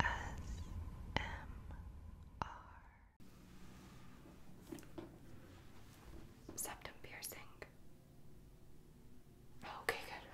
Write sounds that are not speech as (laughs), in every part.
ASMR. Septum piercing. Oh, okay, good.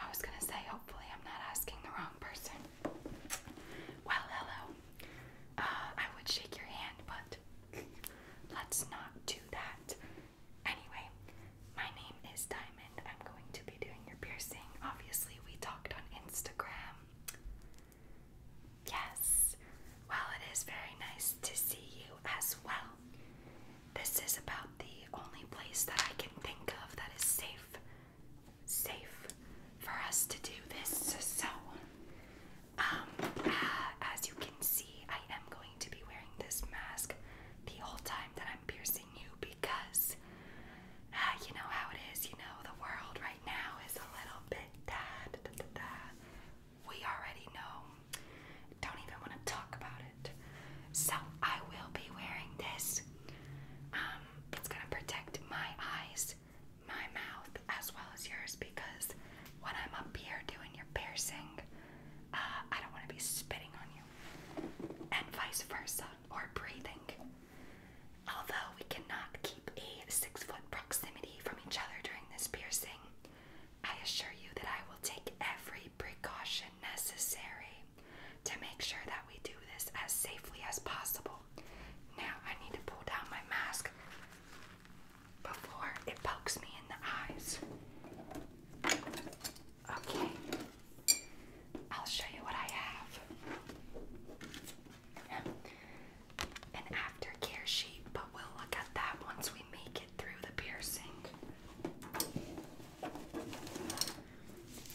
I was gonna say, hopefully, I'm not asking the wrong person. Well, hello. Uh, I would shake your hand, but let's not do that. Anyway, my name is Diamond. I'm going to be doing your piercing. Obviously, we talked on Instagram. Yes. Well, it is very nice to see you as well. This is about the only place that I can think of that is safe. Safe for us to do this. So, um, uh, as you can see, I am going to be wearing this mask the whole time that I'm piercing you because uh, you know how it is, you know, the world right now is a little bit da, we already know. Don't even want to talk about it. So I will be wearing this. Um, it's gonna protect my eyes, my mouth, as well as yours because when I'm up here doing your piercing, uh, I don't want to be spitting on you, and vice versa or breathing. Although we cannot keep a six foot proximity from each other during this piercing, I assure you that I will take every precaution necessary to make sure that we do this as safely as possible. Now I need to pull down my mask before it pokes me in the eyes. Okay, I'll show you what I have. An aftercare sheet, but we'll look at that once we make it through the piercing.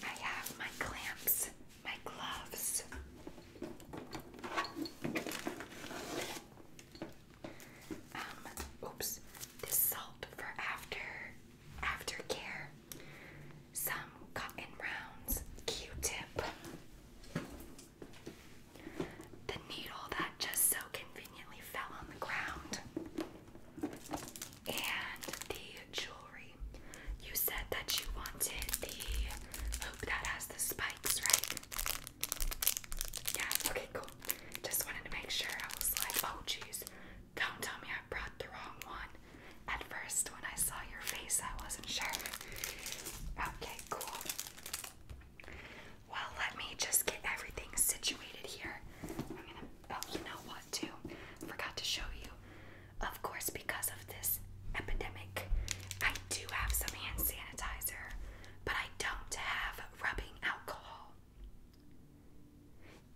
I have my clamps, my gloves. Um, oops, this salt for after aftercare, some cotton rounds, Q-tip, the needle that just so conveniently fell on the ground, and the jewelry. You said that you wanted the hoop that has the spikes, right? Yeah, okay, cool. Just wanted to make sure. I was like, oh, geez, don't tell me I brought the wrong one. At first, when I saw your face, I wasn't sure. Okay, cool. Well, let me just get everything situated here. oh, you know what, too? Forgot to show you. Of course, because of this epidemic, I do have some hand sanitizer, but I don't have rubbing alcohol.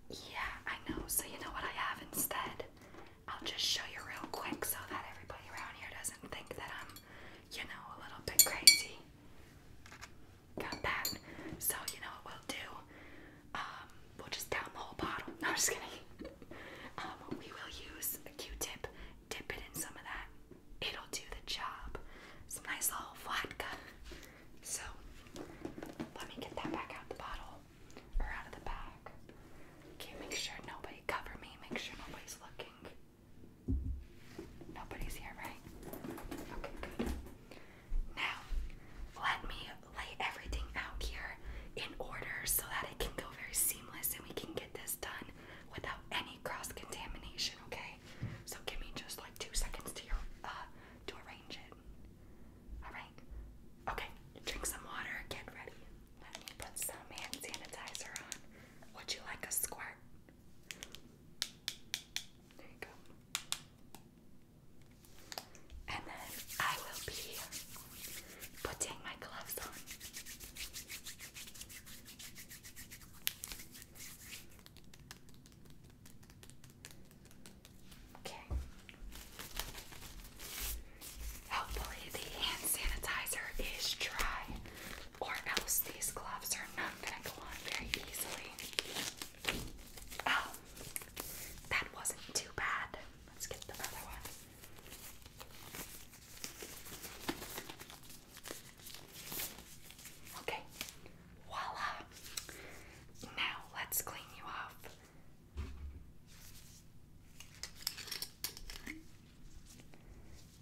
Yeah, I know. So, you know what I have instead? I'll just show you real quick so that everybody around here doesn't think that I'm, you know, a little bit crazy. Got that. So, you know what we'll do? Um, we'll just down the whole bottle. (laughs) I'm just kidding. (laughs) um, we will use a Q tip, dip it in some of that it'll do the job. Some nice little vodka. So let me get that back out the bottle or out of the bag. Okay, make sure nobody cover me. Make sure nobody's looking. Nobody's here, right? Now, let me lay everything out here in order so that it can go very seamless and we can get this done without any cross contamination, okay? So give me just like two seconds to your uh, to arrange it. Alright? Okay, drink some water, get ready. Let me put some hand sanitizer on. Would you like a squirt? There you go. And then I will be putting my gloves on. Okay. Hopefully, the sanitizer is dry, or else these gloves are not going to go on very easily. Oh, that wasn't too bad. Let's get the other one. Okay, voila! Now let's clean you off.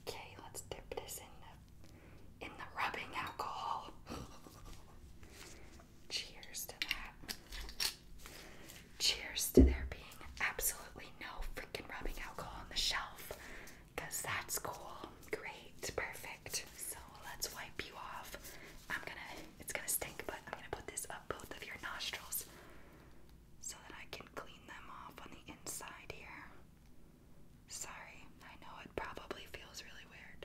Okay, let's dip this in the in the rubbing alcohol. (laughs) Cheers to that. Cheers to there being absolutely no freaking rubbing alcohol on the shelf because that's cool. Great, perfect. So let's wipe you off. I'm gonna, it's gonna stink, but I'm gonna put this up both of your nostrils so that I can clean them off on the inside here. Sorry, I know it probably feels really weird.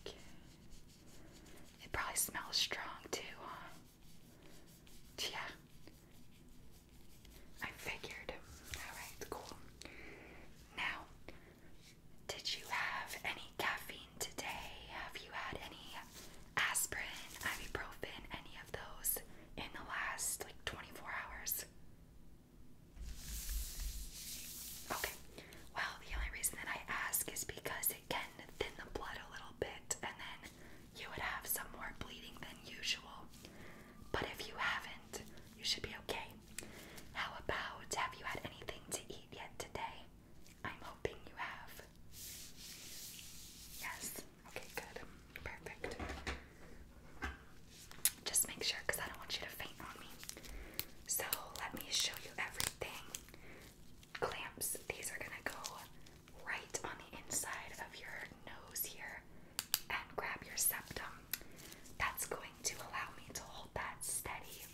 Okay. It probably smells strong too, huh? Yeah. I figured. Alright, cool. Now, did you have any caffeine today? Have you had any aspirin, ibuprofen, any of those in the last like 24 hours? Okay. Well, the only reason that I ask is because it can thin the blood a little bit and then you would have some more bleeding than usual. But if you haven't, you should be okay. How about have you had anything to eat yet today? I'm hoping you have. Yes. Okay, good. Perfect. Just make sure because I don't want you to faint on me. So let me show you everything. Clamps, these are gonna go right on the inside of your nose here and grab your septum. That's going to allow me to hold that steady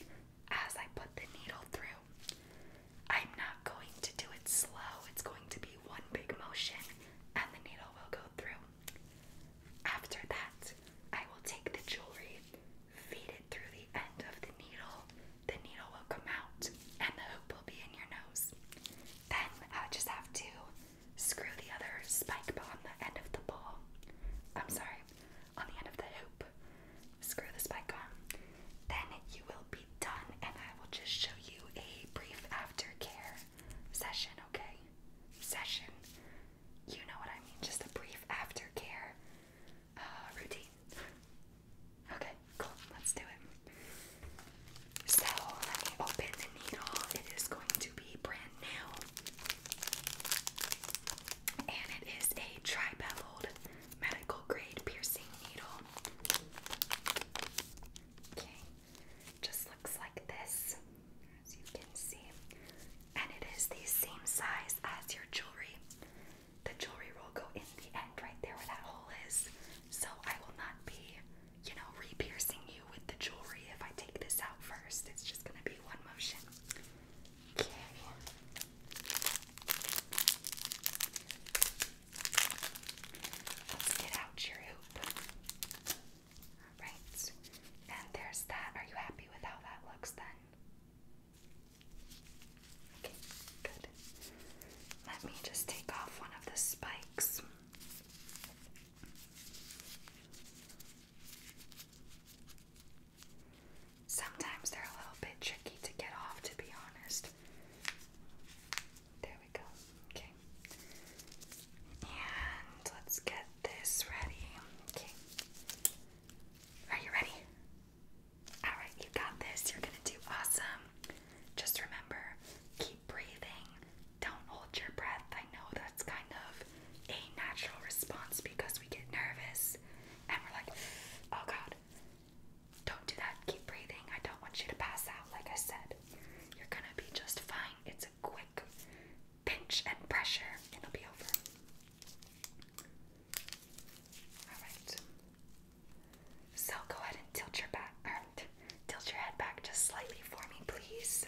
as I put the needle through. I'm not going to do it slow, it's going to be one big motion and the needle will go through. After that, I will take the jewelry feed it through the end of the needle, the needle will come out and the hoop will be in your nose. Then I just have to screw the other spike on the end of the ball. I'm sorry, on the end of the hoop. Screw the spike on. Then you will be done and I will just show you a brief aftercare session, okay? Session you know what I mean, just a brief aftercare uh, routine. Okay, cool, let's do it. So, let me open the needle. It is going to be brand new. And it is a tri medical grade piercing needle. Okay, just looks like this as you can see. And it is the same size as your jewelry. The jewelry will go in the end right there where that hole is. So I will not be, you know, re-piercing you with the jewelry if I take this out first. It's just gonna be one motion. Okay. Let's get out your hoop. Alright, and there's that. Are you happy with how that looks then? Okay, good. Let me just take off one of the spikes. Sometimes they're a little bit tricky to get off, to be honest. There we go. Okay. And let's get this ready. Okay. Are you ready? Alright, you got this. You're gonna do awesome. Just remember, keep breathing. Don't hold your breath. I know that's kind of a natural response because we get nervous and we're like, oh god, don't do that. Keep breathing. I don't want you to pass out, like I said. You're gonna be just fine. It's a quick pinch and pressure, it'll be over. Alright. So go ahead and tilt your back um, tilt your head back just slightly for me, please.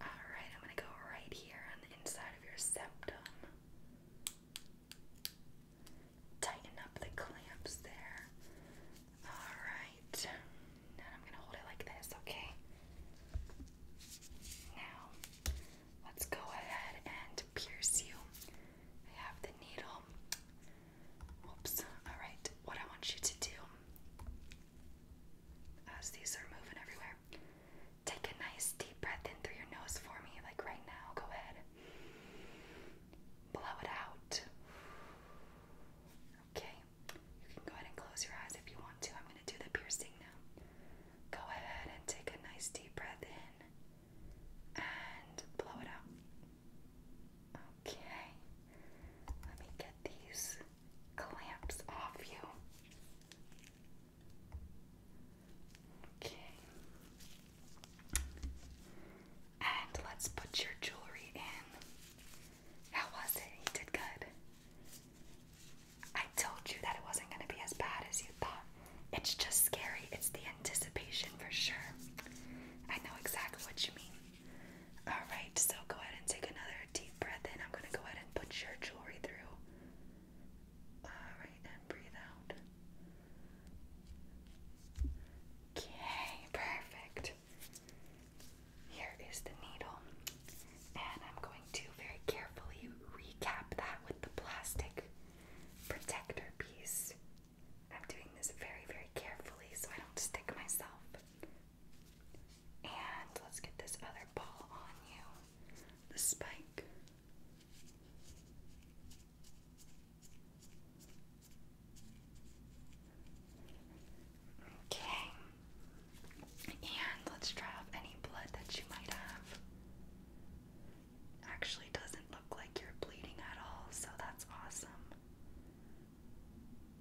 Alright, I'm gonna go right here on the inside of your septum tighten up the clamps there. Alright. Now I'm going to hold it like this, okay? Now, let's go ahead and pierce you. I have the needle. Oops. Alright, what I want you to do, as these are moving everywhere, take a nice deep breath in through your nose for me, like right now. Go ahead blow it out. Okay, you can go ahead and close your eyes if you want to. I'm going to do the piercing now. Go ahead and take a nice deep breath in and blow it out. Okay, let me get these clamps off you. Okay. And let's put your jewelry in. How was it? You did good. I told you that it wasn't going to be as bad as you thought. It's just scary. It's the anticipation for sure. I know exactly what you mean. Alright, so go ahead and take another deep breath in. I'm going to go ahead and put your jewelry through. Alright, and breathe out. Okay, perfect. Here is the needle, and I'm going to very carefully recap that with the plastic protector piece. I'm doing this very, very carefully so I don't stick myself. And let's get this other ball on you the spike. Okay. And let's try off any blood that you might have. Actually doesn't look like you're bleeding at all, so that's awesome.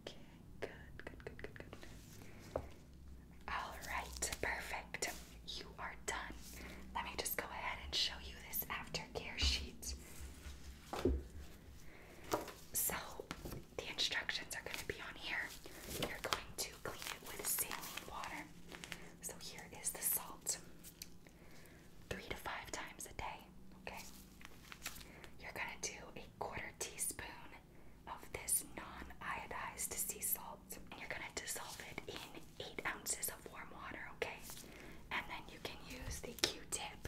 Okay, good, good, good, good, good. Alright, perfect you are done. Let me just go ahead and show you this aftercare sheet. So, the instructions are going to be on here. You're going to clean it with saline water. So, here is the salt three to five times a day. Okay. You're going to do a quarter teaspoon of this non iodized sea salt and you're gonna dissolve it in eight ounces of warm water, okay? And then you can use the Q-tip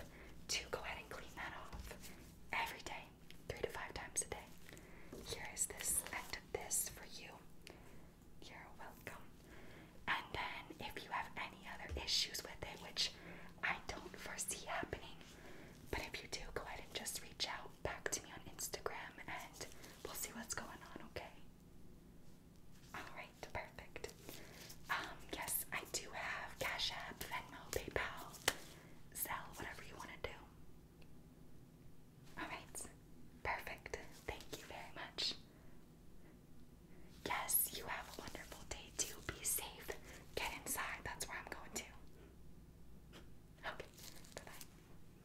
to go ahead and clean that off every day, three to five times a day. Here is this end of this for you. You're welcome. And then if you have any other issues with it, which I don't foresee happening, but if you do, go ahead and just reach out back to me on Instagram and we'll see what's going on, okay? Alright, perfect. Um, yes, I do have Cash App, Venmo, PayPal, Zelle, whatever you want to do. Alright, perfect. Thank you very much. Yes, you have a wonderful day too. Be safe. Get inside. That's where I'm going to. Okay, bye bye.